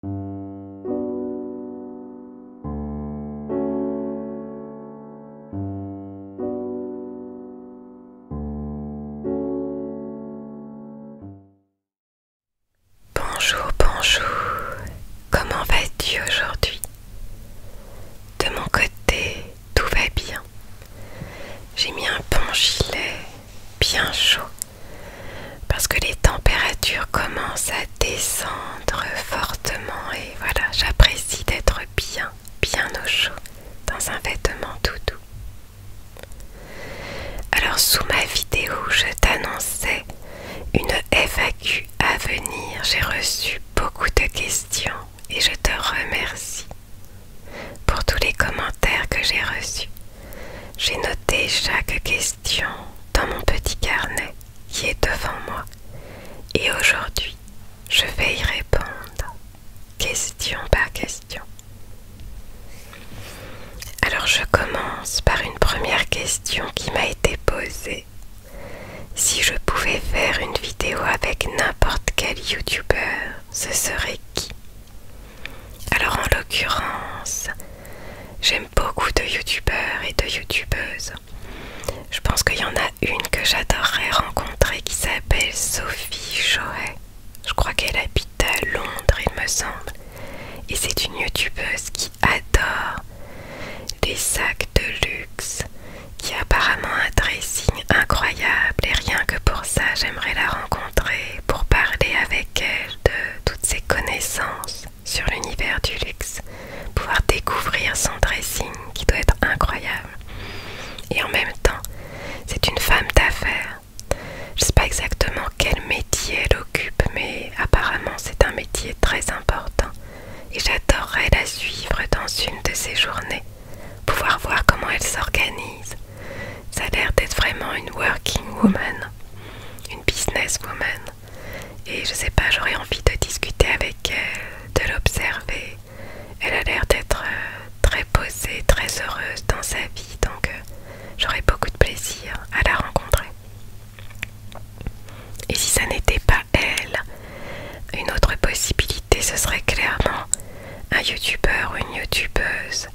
Bonjour, bonjour, comment vas-tu aujourd'hui De mon côté, tout va bien. J'ai mis un bon gilet bien chaud parce que les températures commencent à descendre fortement et voilà, j'apprécie d'être bien, bien au chaud dans un vêtement tout doux. Alors sous ma vidéo, je t'annonçais une FAQ à venir. J'ai reçu beaucoup de questions et je te remercie pour tous les commentaires que j'ai reçus. J'ai noté chaque question dans mon petit carnet qui est devant moi. Et aujourd'hui, je vais y répondre, question par question. Alors je commence par une première question qui m'a été posée. Si je pouvais faire une vidéo avec n'importe quel youtubeur, ce serait qui Alors en l'occurrence, J'aime beaucoup de youtubeurs et de youtubeuses. Je pense qu'il y en a une que j'adorerais rencontrer qui s'appelle Sophie Joë. Je crois qu'elle habite à Londres, il me semble. Et c'est une youtubeuse qui adore les sacs de luxe, qui a apparemment un dressing incroyable. Et rien que pour ça, j'aimerais la rencontrer pour parler avec elle de toutes ses connaissances sur l'univers du luxe, pouvoir découvrir son dressing qui doit être incroyable. Et en même temps, c'est une femme d'affaires. Je ne sais pas exactement quel métier elle occupe, mais apparemment c'est un métier très important. Et j'adorerais la suivre dans une de ses journées, pouvoir voir comment elle s'organise. Ça a l'air d'être vraiment une working woman, une business woman. Et je sais pas, j'aurais envie de discuter avec elle, de l'observer. Elle a l'air d'être euh, très posée, très heureuse dans sa vie, donc euh, j'aurais beaucoup de plaisir à la rencontrer. Et si ça n'était pas elle, une autre possibilité, ce serait clairement un youtubeur ou une youtubeuse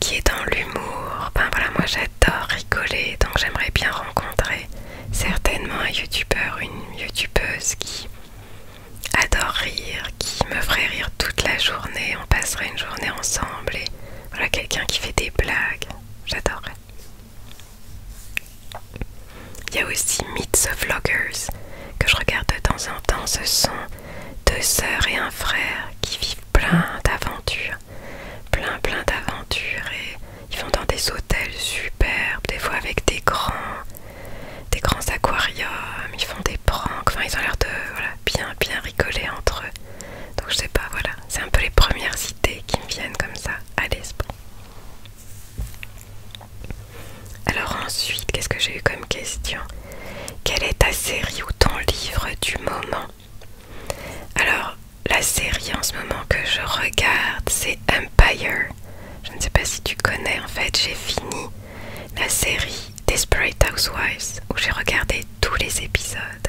qui est dans l'humour. Ben voilà, moi j'adore rigoler, donc j'aimerais bien rencontrer certainement un youtubeur, une youtubeuse qui adore rire, qui me ferait rire toute la journée. On passerait une journée ensemble et voilà quelqu'un qui fait des blagues. J'adorerais. Il y a aussi Myths the Vloggers que je regarde de temps en temps. Ce sont deux sœurs et un frère qui vivent plein d'aventures plein plein d'aventures et ils vont dans des hôtels superbes, des fois avec des grands, des grands aquariums, ils font des pranks, enfin ils ont l'air de bien bien rigoler entre eux. Donc je sais pas, voilà, c'est un peu les premières idées qui me viennent comme ça à l'esprit. Alors ensuite, qu'est-ce que j'ai eu comme question Quelle est ta série ou ton livre du moment alors, la série en ce moment que je regarde, c'est Empire. Je ne sais pas si tu connais, en fait, j'ai fini la série Desperate Housewives où j'ai regardé tous les épisodes.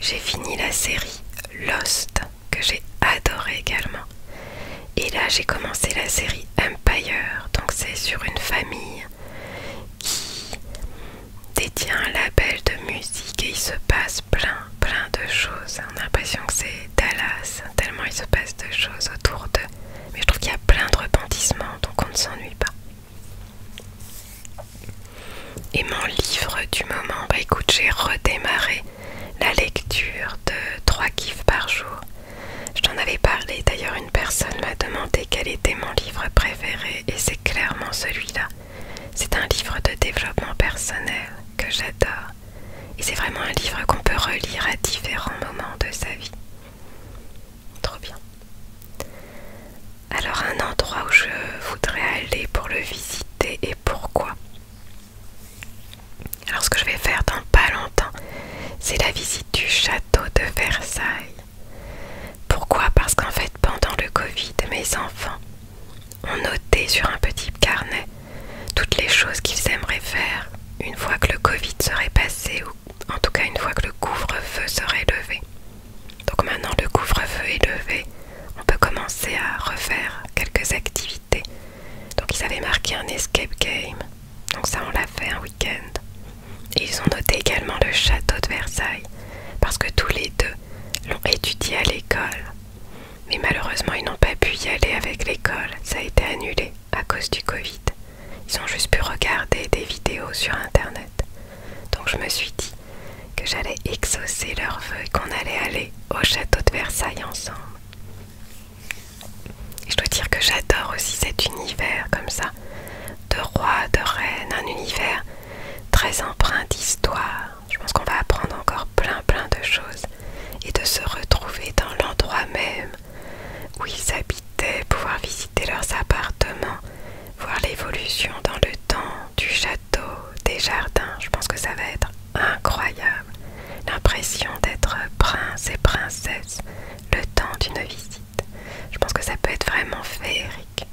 J'ai fini la série Lost que j'ai adoré également. Et là, j'ai commencé la série Empire, donc c'est sur une famille qui détient un label de musique et il se passe plein, plein de choses. On a l'impression que c'est Dallas, tellement il se passe de choses autour d'eux. Mais je trouve qu'il y a plein de repentissements, donc on ne s'ennuie pas. Et mon livre du moment, bah écoute, j'ai redémarré la lecture de 3 kifs par jour. Je t'en avais parlé, d'ailleurs une personne m'a demandé quel était mon livre préféré et c'est clairement celui-là. C'est un livre de développement personnel que j'adore et c'est vraiment un livre qu'on peut relire à différents moments de sa vie. Trop bien. Alors un endroit où je voudrais aller pour le visiter et pourquoi Alors ce que je vais faire dans pas longtemps, c'est la visite du château de Versailles. Pourquoi Parce qu'en fait, pendant le Covid, mes enfants ont noté sur un petit carnet toutes les choses qu'ils aimeraient faire une fois que le Covid serait passé ou en tout cas une fois que le couvre-feu serait levé. Donc maintenant le couvre-feu est levé, on peut commencer à refaire quelques activités. Donc ils avaient marqué un escape game. Donc ça on l'a fait un week-end. ils ont noté également le château de Versailles. Parce que tous les deux, l'ont étudié à l'école. Mais malheureusement, ils n'ont pas pu y aller avec l'école. Ça a été annulé à cause du Covid. Ils ont juste pu regarder des vidéos sur Internet. Donc je me suis dit que j'allais exaucer leurs vœux et qu'on allait aller au château de Versailles ensemble. je dois dire que j'adore aussi cet univers comme ça, de rois, de reines, un univers très empreint d'histoire, je pense qu'on va apprendre encore plein plein de choses et de se retrouver dans l'endroit même où ils habitaient, pouvoir visiter leurs appartements, voir l'évolution dans le temps du château, des jardins. Je pense que ça va être incroyable. L'impression d'être prince et princesse le temps d'une visite. Je pense que ça peut être vraiment féerique.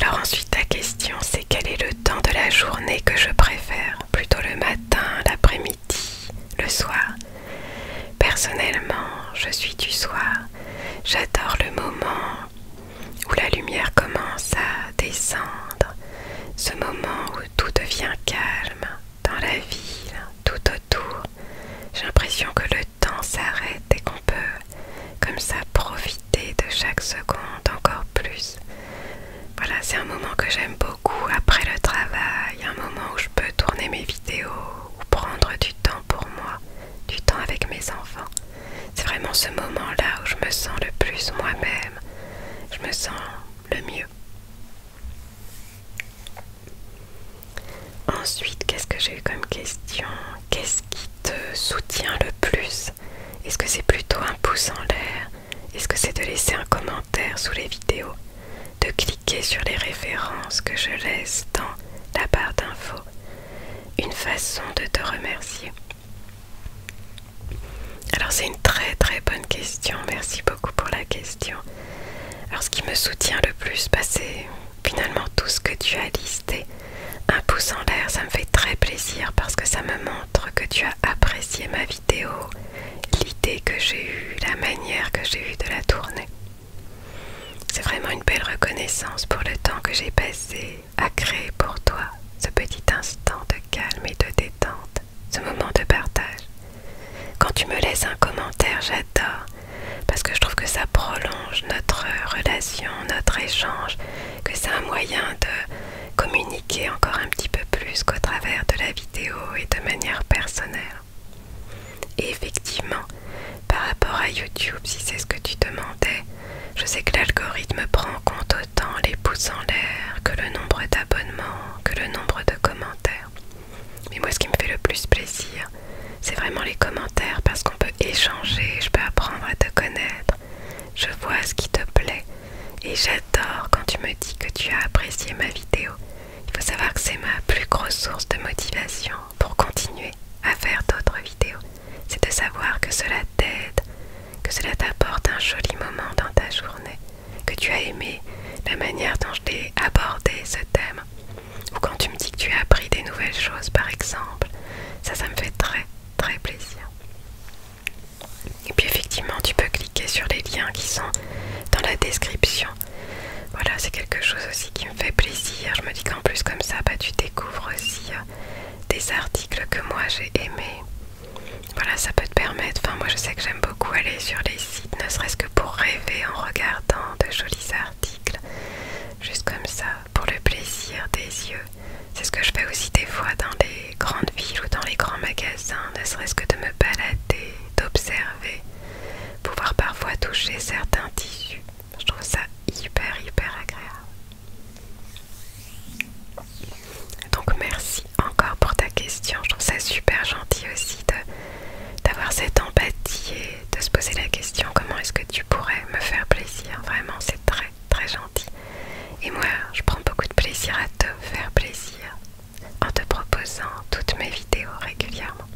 Alors ensuite ta question c'est quel est le temps de la journée que je préfère Plutôt le matin, l'après-midi, le soir Personnellement, je suis du soir. J'adore le moment où la lumière commence à descendre, ce moment où tout devient calme dans la ville, tout autour. J'ai l'impression que le temps s'arrête et qu'on peut comme ça profiter de chaque seconde encore plus. Voilà, c'est un moment que j'aime beaucoup après le travail, un moment où je peux tourner mes vidéos ou prendre du temps pour moi, du temps avec mes enfants. C'est vraiment ce moment-là où je me sens le plus moi-même, je me sens le mieux. Ensuite, qu'est-ce que j'ai eu comme question Qu'est-ce qui te soutient le plus Est-ce que c'est plutôt un pouce en l'air Est-ce que c'est de laisser un commentaire sous les vidéos De cliquer sur les références que je laisse dans la barre d'infos Une façon de te remercier alors c'est une très très bonne question, merci beaucoup pour la question. Alors ce qui me soutient le plus, bah, c'est finalement tout ce que tu as listé. Un pouce en l'air, ça me fait très plaisir parce que ça me montre que tu as apprécié ma vidéo, l'idée que j'ai eue, la manière que j'ai eue de la tourner. C'est vraiment une belle reconnaissance pour le temps que j'ai passé à créer pour toi ce petit instant de calme et de détente, ce moment de partage. Quand tu me laisses un commentaire, j'adore parce que je trouve que ça prolonge notre euh, relation, notre échange, que c'est un moyen de communiquer encore un petit peu plus qu'au travers de la vidéo et de manière personnelle. effectivement, par rapport à YouTube, si c'est ce que tu demandais, je sais que l'algorithme prend en compte autant les pouces en l'air que le nombre d'abonnements, que le nombre de commentaires. Mais moi, ce qui me fait le plus plaisir, c'est vraiment les commentaires parce qu'on peut échanger, je peux apprendre à te connaître, je vois ce qui te plaît et j'adore quand tu me dis que tu as apprécié ma vidéo. Il faut savoir que c'est ma plus grosse source de motivation pour continuer à faire d'autres vidéos. C'est de savoir que cela t'aide, que cela t'apporte un joli moment dans ta journée, que tu as aimé la manière dont je t'ai abordé ce thème ou quand tu me dis que tu as appris des nouvelles choses par exemple, ça ça me fait très très plaisir. Et puis effectivement tu peux cliquer sur les liens qui sont dans la description. Voilà c'est quelque chose aussi qui me fait plaisir. Je me dis qu'en plus comme ça bah, tu découvres aussi euh, des articles que moi j'ai aimés. Voilà ça peut te permettre, enfin moi je sais que j'aime beaucoup aller sur les sites, ne serait-ce que pour rêver en regardant de jolis articles. Juste comme ça, pour le plaisir des yeux. C'est ce que je fais aussi des fois dans les grandes villes ou dans les grands magasins, ne serait-ce que de me balader, d'observer, pouvoir parfois toucher certains tissus. Je trouve ça hyper hyper agréable. Donc merci encore pour ta question. Je trouve ça super gentil aussi d'avoir cette empathie de se poser la question comment est-ce que tu pourrais me faire plaisir. Vraiment, c'est très très gentil. Et moi, je prends beaucoup de plaisir à te faire plaisir en te proposant toutes mes vidéos régulièrement.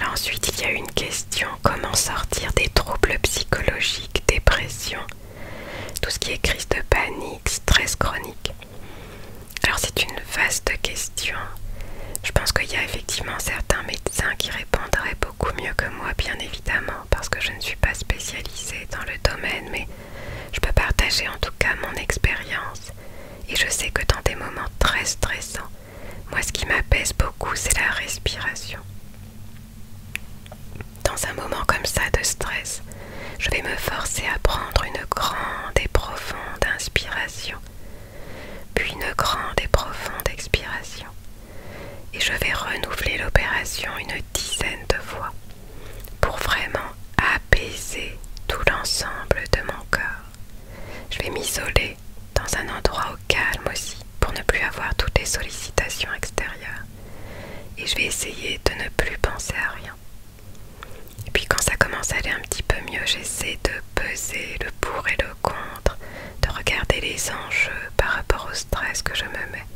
Alors ensuite, il y a une question, comment sortir des troubles psychologiques, dépression, tout ce qui est crise de panique, stress chronique. Alors c'est une vaste question je pense qu'il y a effectivement certains médecins qui répondraient beaucoup mieux que moi, bien évidemment, parce que je ne suis pas spécialisée dans le domaine, mais je peux partager en tout cas mon expérience. Et je sais que dans des moments très stressants, moi ce qui m'apaise beaucoup, c'est la respiration. Dans un moment comme ça de stress, je vais me forcer à prendre une grande et profonde inspiration puis une grande et profonde expiration, et je vais renouveler l'opération une dizaine de fois pour vraiment apaiser tout l'ensemble de mon corps. Je vais m'isoler dans un endroit au calme aussi pour ne plus avoir toutes les sollicitations extérieures et je vais essayer de ne plus penser à rien. Et puis quand ça commence à aller un petit peu mieux, j'essaie de peser le pour et le contre, de regarder les enjeux par rapport au stress que je me mets,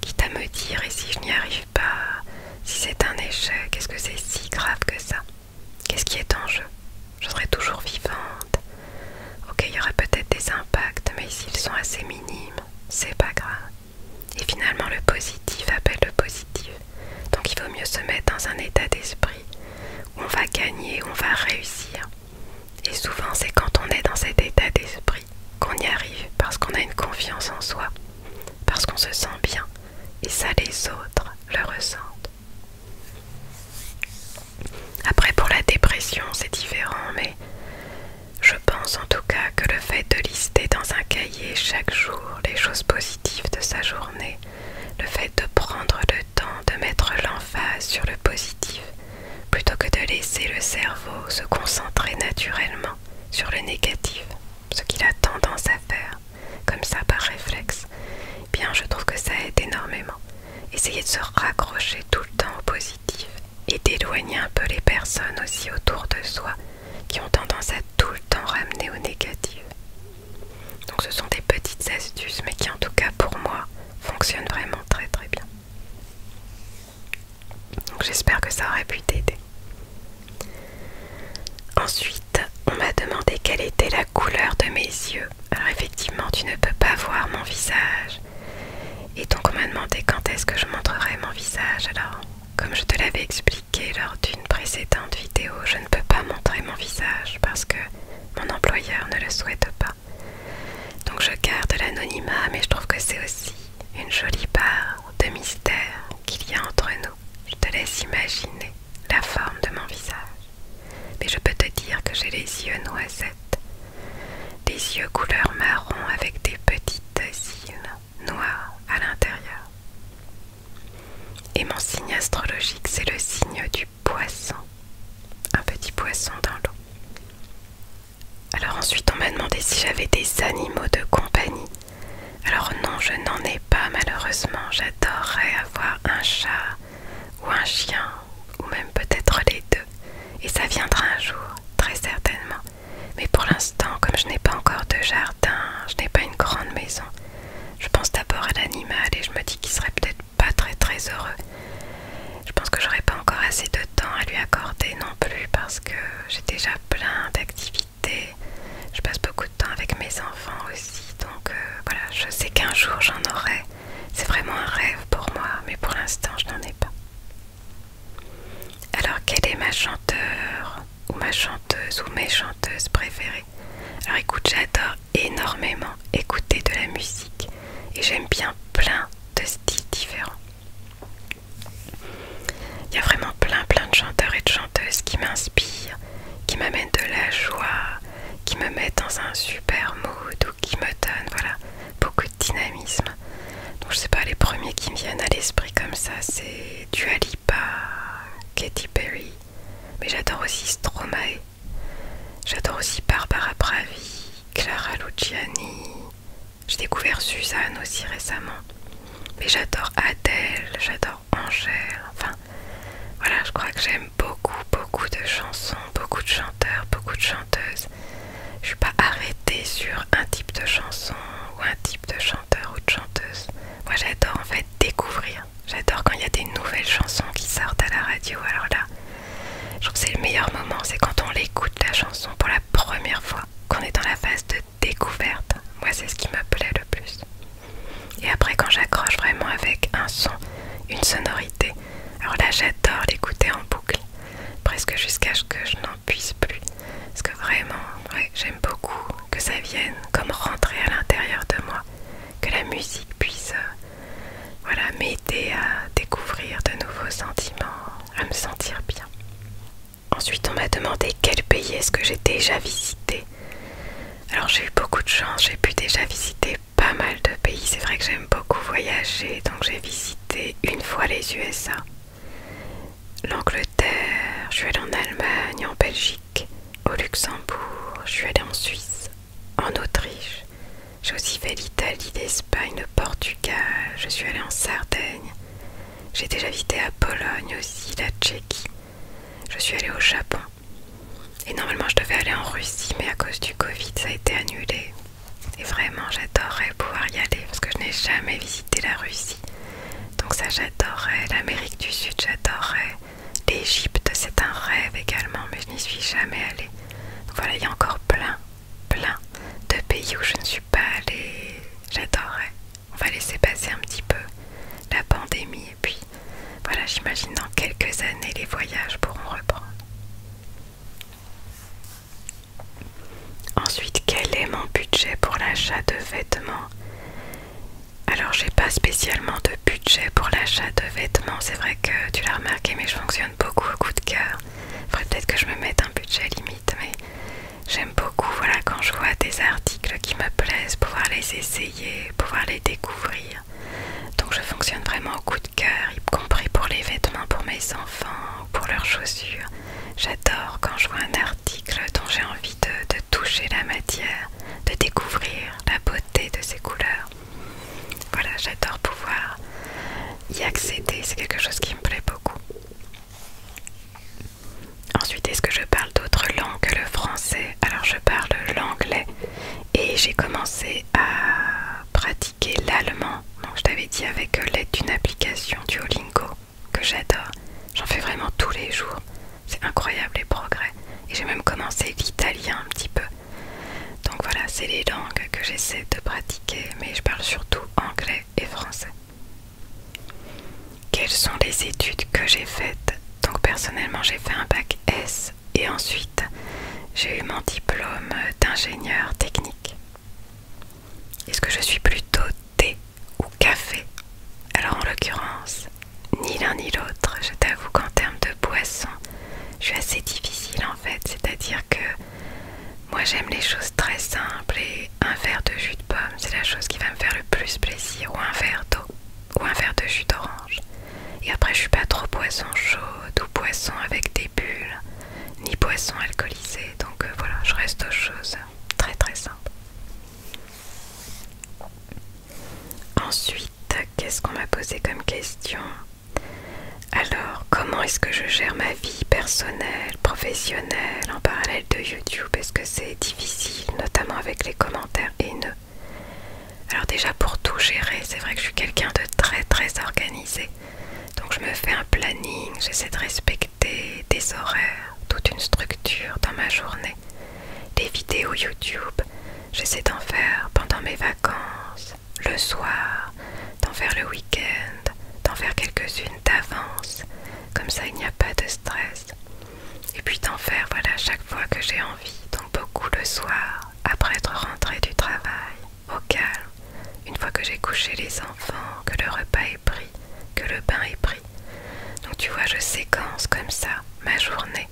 quitte à me dire et si je n'y arrive pas, si c'est un échec, est-ce que c'est si grave que ça Qu'est-ce qui est en jeu Je serai toujours vivante. Ok, il y aura peut-être des impacts, mais s'ils sont assez minimes, c'est pas grave. Et finalement, le positif appelle le positif. Donc il vaut mieux se mettre dans un état d'esprit on va gagner, on va réussir. Et souvent c'est quand on est dans cet état d'esprit qu'on y arrive, parce qu'on a une confiance en soi, parce qu'on se sent bien, et ça les autres le ressentent. Après pour la dépression c'est différent, mais je pense en tout cas que le fait de lister dans un cahier chaque jour les choses positives de sa journée, le fait de prendre le de mettre l'emphase sur le positif plutôt que de laisser le cerveau se concentrer naturellement sur le négatif, ce qu'il a tendance à faire, comme ça par réflexe. Bien, je trouve que ça aide énormément. Essayez de se raccrocher tout le temps au positif et d'éloigner un peu les personnes aussi autour de soi qui ont tendance à tout le temps ramener au négatif. Donc ce sont des petites astuces mais qui en tout cas pour moi fonctionnent vraiment très très bien. Donc j'espère que ça aurait pu t'aider. Ensuite, on m'a demandé quelle était la couleur de mes yeux. Alors effectivement, tu ne peux pas voir mon visage. Et donc on m'a demandé quand est-ce que je montrerai mon visage. Alors, comme je te l'avais expliqué lors d'une précédente vidéo, je ne peux pas montrer mon visage parce que mon employeur ne le souhaite pas. Donc je garde l'anonymat, mais je trouve que c'est aussi une jolie part de mystère qu'il y a entre nous. Je te laisse imaginer la forme de mon visage. Mais je peux te dire que j'ai les yeux noisettes. Des yeux couleur marron avec des petites îles noires à l'intérieur. Et mon signe astrologique, c'est le signe du poisson, un petit poisson dans l'eau. Alors ensuite on m'a demandé si j'avais des animaux de compagnie. Alors non, je n'en ai pas malheureusement. J'adorerais avoir un chat ou un chien, ou même peut-être les deux. Et ça viendra un jour, très certainement. Mais pour l'instant, comme je n'ai pas encore de jardin, je n'ai pas une grande maison, je pense d'abord à l'animal et je me dis qu'il serait peut-être pas très très heureux. Je pense que j'aurais pas encore assez de temps à lui accorder non plus parce que j'ai déjà plein d'activités. Je passe beaucoup de temps avec mes enfants aussi, donc euh, voilà, je sais qu'un jour j'en aurai. C'est vraiment un rêve pour moi, mais pour l'instant je n'en ai pas. Alors quelle est ma chanteur ou ma chanteuse ou mes chanteuses préférées Alors écoute, j'adore énormément écouter de la musique et j'aime bien plein de styles différents. Il y a vraiment plein plein de chanteurs et de chanteuses qui m'inspirent, qui m'amènent de la joie, qui me mettent dans un super mood ou qui me donnent voilà, beaucoup de dynamisme. Donc je sais pas, les premiers qui me viennent à l'esprit comme ça, c'est Dua Lipa, Katy Perry, mais j'adore aussi Stromae, J'adore aussi Barbara Bravi, Clara Luciani. J'ai découvert Suzanne aussi récemment. Mais j'adore Adèle, j'adore Angèle. Enfin, voilà, je crois que j'aime beaucoup, beaucoup de chansons, beaucoup de chanteurs, beaucoup de chanteuses. Je suis pas arrêtée sur un type de chanson ou un type de chanteur ou de chanteuse. Moi, j'adore en fait découvrir J'adore quand il y a des nouvelles chansons qui sortent à la radio. Alors là, je trouve que c'est le meilleur moment, c'est quand on l'écoute la chanson pour la première fois, qu'on est dans la phase de découverte. Moi, c'est ce qui m'appelait le plus. Et après, quand j'accroche vraiment avec un son, une sonorité, alors là, j'adore l'écouter en boucle, presque jusqu'à ce que je n'en puisse plus. Parce que vraiment, j'aime beaucoup que ça vienne comme rentrer à l'intérieur de moi, que la musique puisse euh, voilà, m'aider à découvrir de nouveaux sentiments, à me sentir bien. Ensuite, on m'a demandé quel pays est-ce que j'ai déjà visité. Alors j'ai eu beaucoup de chance, j'ai pu déjà visiter pas mal de pays. C'est vrai que j'aime beaucoup voyager, donc j'ai visité une fois les USA, l'Angleterre, je suis allée en Allemagne, en Belgique, au Luxembourg, je suis allée en Suisse, en Autriche. J'ai aussi fait l'Italie, l'Espagne, le Portugal. Je suis allée en Sardaigne. J'ai déjà visité la Pologne aussi, la Tchéquie. Je suis allée au Japon. Et normalement, je devais aller en Russie, mais à cause du Covid, ça a été annulé. Et vraiment, j'adorerais pouvoir y aller parce que je n'ai jamais visité la Russie. Donc ça, j'adorerais. L'Amérique du Sud, j'adorerais. L'Égypte, c'est un rêve également, mais je n'y suis jamais allée. Donc voilà, il y a encore plein, plein de pays où je ne suis pas allée. J'adorerais. On va laisser passer un petit peu la pandémie et puis voilà, j'imagine dans quelques années les voyages pourront reprendre. Ensuite, quel est mon budget pour l'achat de vêtements Alors, j'ai pas spécialement de budget pour l'achat de vêtements. C'est vrai que tu l'as remarqué, mais je fonctionne beaucoup au coup de cœur. Faudrait peut-être que je me mette un budget limite, mais j'aime beaucoup, voilà, quand je vois des articles qui me plaisent, pouvoir les essayer, pouvoir les découvrir. Donc je fonctionne vraiment au coup de cœur, y compris pour les vêtements pour mes enfants pour leurs chaussures. J'adore quand je vois un article dont j'ai envie de, de toucher la matière, de découvrir la beauté de ses couleurs. Voilà, j'adore pouvoir y accéder, c'est quelque chose qui me plaît beaucoup. Ensuite, est-ce que je parle d'autres langues que le français Alors, je parle l'anglais et j'ai commencé à pratiquer l'allemand. Donc, je t'avais dit avec l'aide d'une application Duolingo que j'adore. J'en fais vraiment tous les jours. C'est incroyable les progrès. Et j'ai même commencé l'italien un petit peu. Donc voilà, c'est les langues que j'essaie de pratiquer, mais je parle surtout anglais et français. Quelles sont les études que j'ai faites Donc personnellement, j'ai fait un bac S et ensuite j'ai eu mon diplôme d'ingénieur technique. Est-ce que je suis plutôt thé ou café Alors en l'occurrence, ni l'un ni l'autre, je t'avoue qu'en termes de boisson, je suis assez difficile en fait, c'est-à-dire que moi j'aime les choses très simples et un verre de jus de pomme c'est la chose qui va me faire le plus plaisir ou un verre d'eau ou un verre de jus d'orange. Et après je suis pas trop poisson chaude ou poisson avec des bulles ni poisson alcoolisé, donc euh, voilà, je reste aux choses très très simples. Ensuite, qu'est-ce qu'on m'a posé comme question alors, comment est-ce que je gère ma vie personnelle, professionnelle en parallèle de YouTube Est-ce que c'est difficile, notamment avec les commentaires haineux Alors déjà, pour tout gérer, c'est vrai que je suis quelqu'un de très très organisé. Donc je me fais un planning, j'essaie de respecter des horaires, toute une structure dans ma journée. Les vidéos YouTube, j'essaie d'en faire pendant mes vacances, le soir, d'en faire le week-end, d'en faire quelques-unes d'avance. Comme ça, il n'y a pas de stress. Et puis d'en faire, voilà, chaque fois que j'ai envie. Donc beaucoup le soir, après être rentré du travail, au calme. Une fois que j'ai couché les enfants, que le repas est pris, que le bain est pris. Donc tu vois, je séquence comme ça ma journée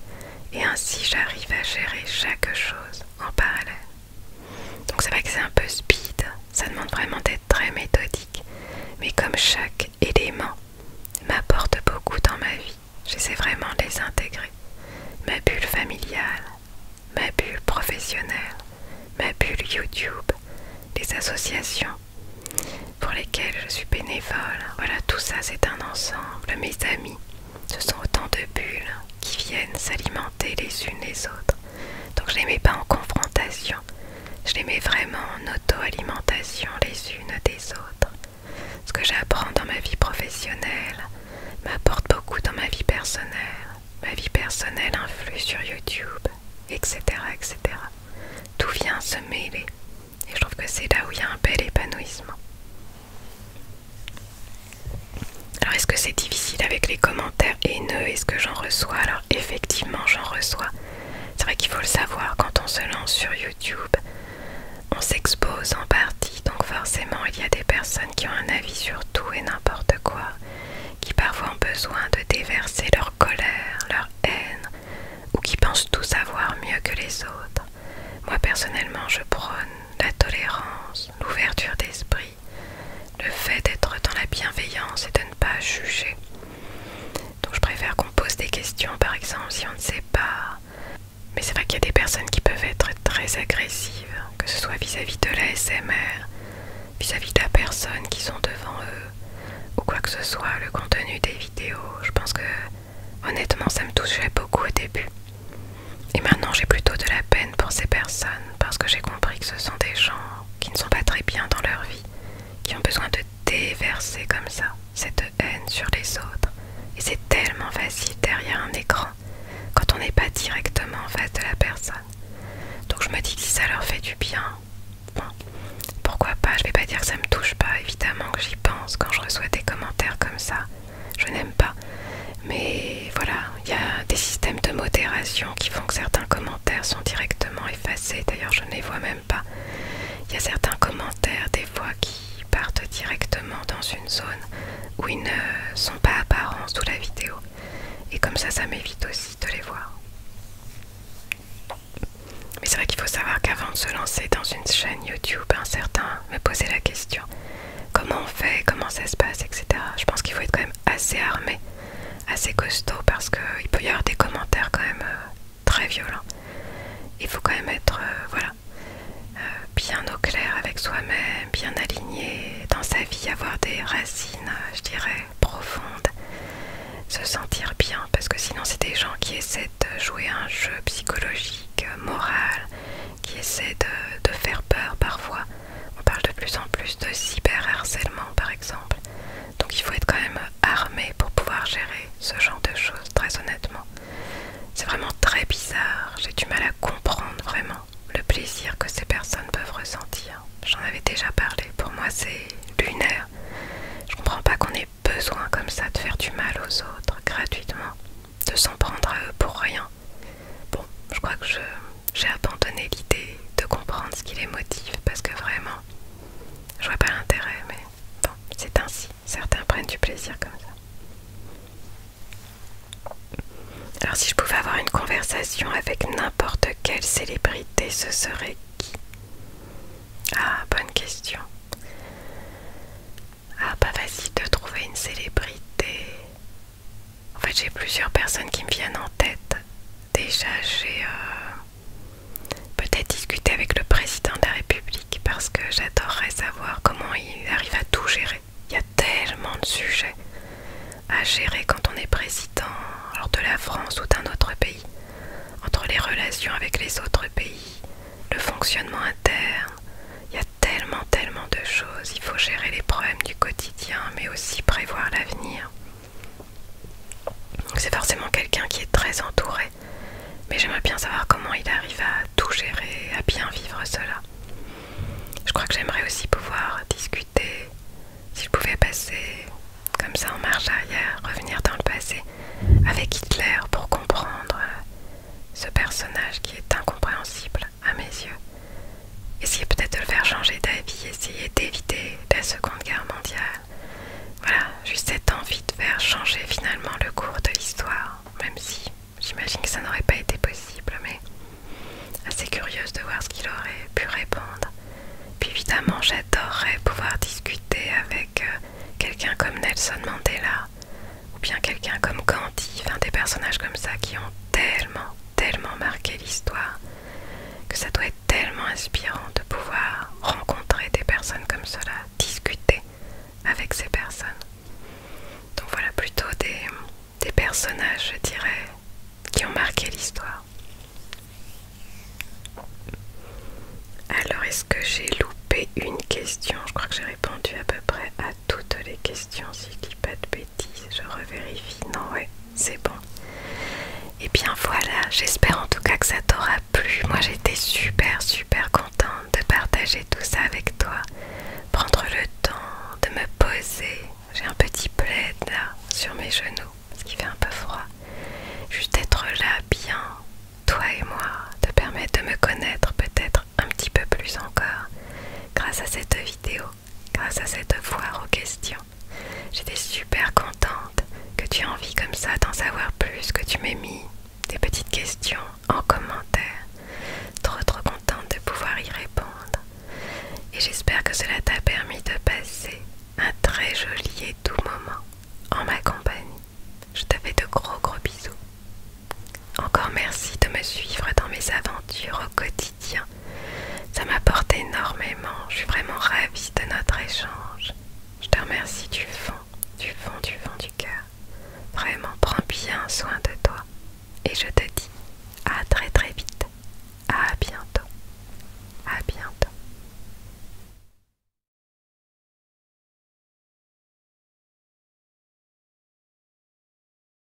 et ainsi j'arrive à gérer chaque chose en parallèle. Donc c'est vrai que c'est un peu speed, ça demande vraiment d'être très méthodique, mais comme chaque élément m'apporte beaucoup dans ma vie, j'essaie vraiment les intégrer. Ma bulle familiale, ma bulle professionnelle, ma bulle YouTube, les associations pour lesquelles je suis bénévole, voilà tout ça c'est un ensemble, mes amis, ce sont autant de bulles qui viennent s'alimenter les unes les autres. Donc je les mets pas en confrontation, je les mets vraiment en auto-alimentation les unes des autres. Ce que j'apprends dans ma vie professionnelle m'apporte beaucoup dans ma vie personnelle. Ma vie personnelle influe sur YouTube, etc. etc. Tout vient se mêler. Et je trouve que c'est là où il y a un bel épanouissement. Alors est-ce que c'est difficile avec les commentaires haineux Est-ce que j'en reçois Alors effectivement j'en reçois. C'est vrai qu'il faut le savoir quand on se lance sur YouTube. On s'expose en partie, donc forcément il y a des personnes qui ont un avis sur tout et n'importe quoi, qui parfois ont besoin de déverser leur colère, leur haine, ou qui pensent tout savoir mieux que les autres. Moi personnellement je prône la tolérance, l'ouverture d'esprit, le fait d'être dans la bienveillance et de ne pas juger. Donc je préfère qu'on pose des questions, par exemple, si on ne sait pas. Mais c'est vrai qu'il y a des personnes qui peuvent être très agressives, que ce soit vis-à-vis de l'ASMR, vis-à-vis de la personne qui sont devant eux, ou quoi que ce soit, le contenu des vidéos. Je pense que honnêtement, ça me touchait beaucoup au début. Et maintenant j'ai plutôt de la peine pour ces personnes parce que j'ai compris que ce sont des gens qui ne sont pas très bien dans leur vie, qui ont besoin de déverser comme ça cette haine sur les autres. Et c'est tellement facile derrière un écran quand on n'est pas directement en face de la personne. Donc je me dis que si ça leur fait du bien, pourquoi pas, je vais pas dire que ça me touche pas, évidemment que j'y pense quand je reçois des commentaires comme ça je n'aime pas. Mais voilà, il y a des systèmes de modération qui font que certains commentaires sont directement effacés. D'ailleurs, je ne les vois même pas. Il y a certains commentaires des fois qui partent directement dans une zone où ils ne sont pas apparents sous la vidéo. Et comme ça, ça m'évite aussi de les voir. Mais c'est vrai qu'il faut savoir qu'avant de se lancer dans une chaîne YouTube, un me poser la question. Comment on fait, comment ça se passe, etc. Je pense qu'il faut être quand même assez armé, assez costaud, parce qu'il peut y avoir des commentaires quand même euh, très violents. Il faut quand même être, euh, voilà, euh, bien au clair avec soi-même, bien aligné dans sa vie, avoir des racines, je dirais, profondes, se sentir bien, parce que sinon c'est des gens qui essaient de jouer un jeu psychologique, moral, qui essaient de faire peur parfois on parle de plus en plus de cyberharcèlement par exemple. Donc il faut être quand même armé pour pouvoir gérer ce genre de choses, très honnêtement. C'est vraiment très bizarre, j'ai du mal à comprendre vraiment le plaisir que ces personnes peuvent ressentir. J'en avais déjà parlé, pour moi c'est lunaire. Je ne comprends pas qu'on ait besoin comme ça de faire du mal aux autres gratuitement, de s'en prendre à eux pour rien. Bon, je crois que j'ai abandonné l'idée de comprendre ce qui les motive parce que vraiment, je vois pas l'intérêt, mais bon, c'est ainsi. Certains prennent du plaisir comme ça. Alors, si je pouvais avoir une conversation avec n'importe quelle célébrité, ce serait qui Ah, bonne question. Ah, pas facile de trouver une célébrité. En fait, j'ai plusieurs personnes qui me viennent en tête. Déjà, j'ai euh, peut-être discuté avec le président de la République parce que j'adorerais savoir comment il arrive à tout gérer. Il y a tellement de sujets à gérer quand on est président alors de la France ou d'un autre pays, entre les relations avec les autres pays, le fonctionnement interne, il y a tellement, tellement de choses. Il faut gérer les problèmes du quotidien, mais aussi prévoir l'avenir. C'est forcément quelqu'un qui est très entouré, mais j'aimerais bien savoir comment il arrive à tout gérer, à bien vivre cela. Je crois que j'aimerais aussi pouvoir discuter, s'il pouvait passer comme ça en marche arrière, revenir dans le passé avec Hitler pour comprendre ce personnage qui est incompréhensible à mes yeux. Essayer peut-être de le faire changer d'avis, essayer d'éviter la Seconde Guerre mondiale. Voilà, juste cette envie de faire changer finalement le cours de l'histoire, même si j'imagine que ça n'aurait pas été possible, mais assez curieuse de voir ce qu'il aurait pu répondre. Puis évidemment, j'adorerais pouvoir discuter avec euh, quelqu'un comme Nelson Mandela, ou bien quelqu'un comme Gandhi, enfin des personnages comme ça qui ont tellement tellement marqué l'histoire que ça doit être tellement inspirant de pouvoir rencontrer des personnes comme cela, discuter avec ces personnes. Donc voilà plutôt des, personnages, je dirais, qui ont marqué l'histoire. Alors, est-ce que j'ai loupé une question Je crois que j'ai répondu à peu près à toutes les questions, si je dis pas de bêtises, je revérifie. Non, ouais, c'est bon. Et eh bien voilà, j'espère en tout cas que ça t'aura plu. Moi j'étais super super contente de partager tout ça avec toi. Prendre le temps de me poser. J'ai un petit plaid là sur mes genoux parce qu'il fait un peu froid. Juste être là bien, toi et moi, te permettre de me connaître peut-être un petit peu plus encore grâce à cette vidéo grâce à cette foire aux questions. J'étais super contente que tu aies envie comme ça d'en savoir plus, que tu m'aies mis des petites questions en commentaire. Trop trop contente de pouvoir y répondre. Et j'espère que cela t'a permis de passer un très joli et doux moment en ma compagnie. Je te fais de gros gros bisous. Encore merci de me suivre dans mes aventures au quotidien. Ça m'apporte énormément. Je suis vraiment ravie de notre échange. Je te remercie du fond, du fond, du fond du cœur. Vraiment, prends bien soin de toi. Et je te dis à très très vite. À bientôt. À bientôt.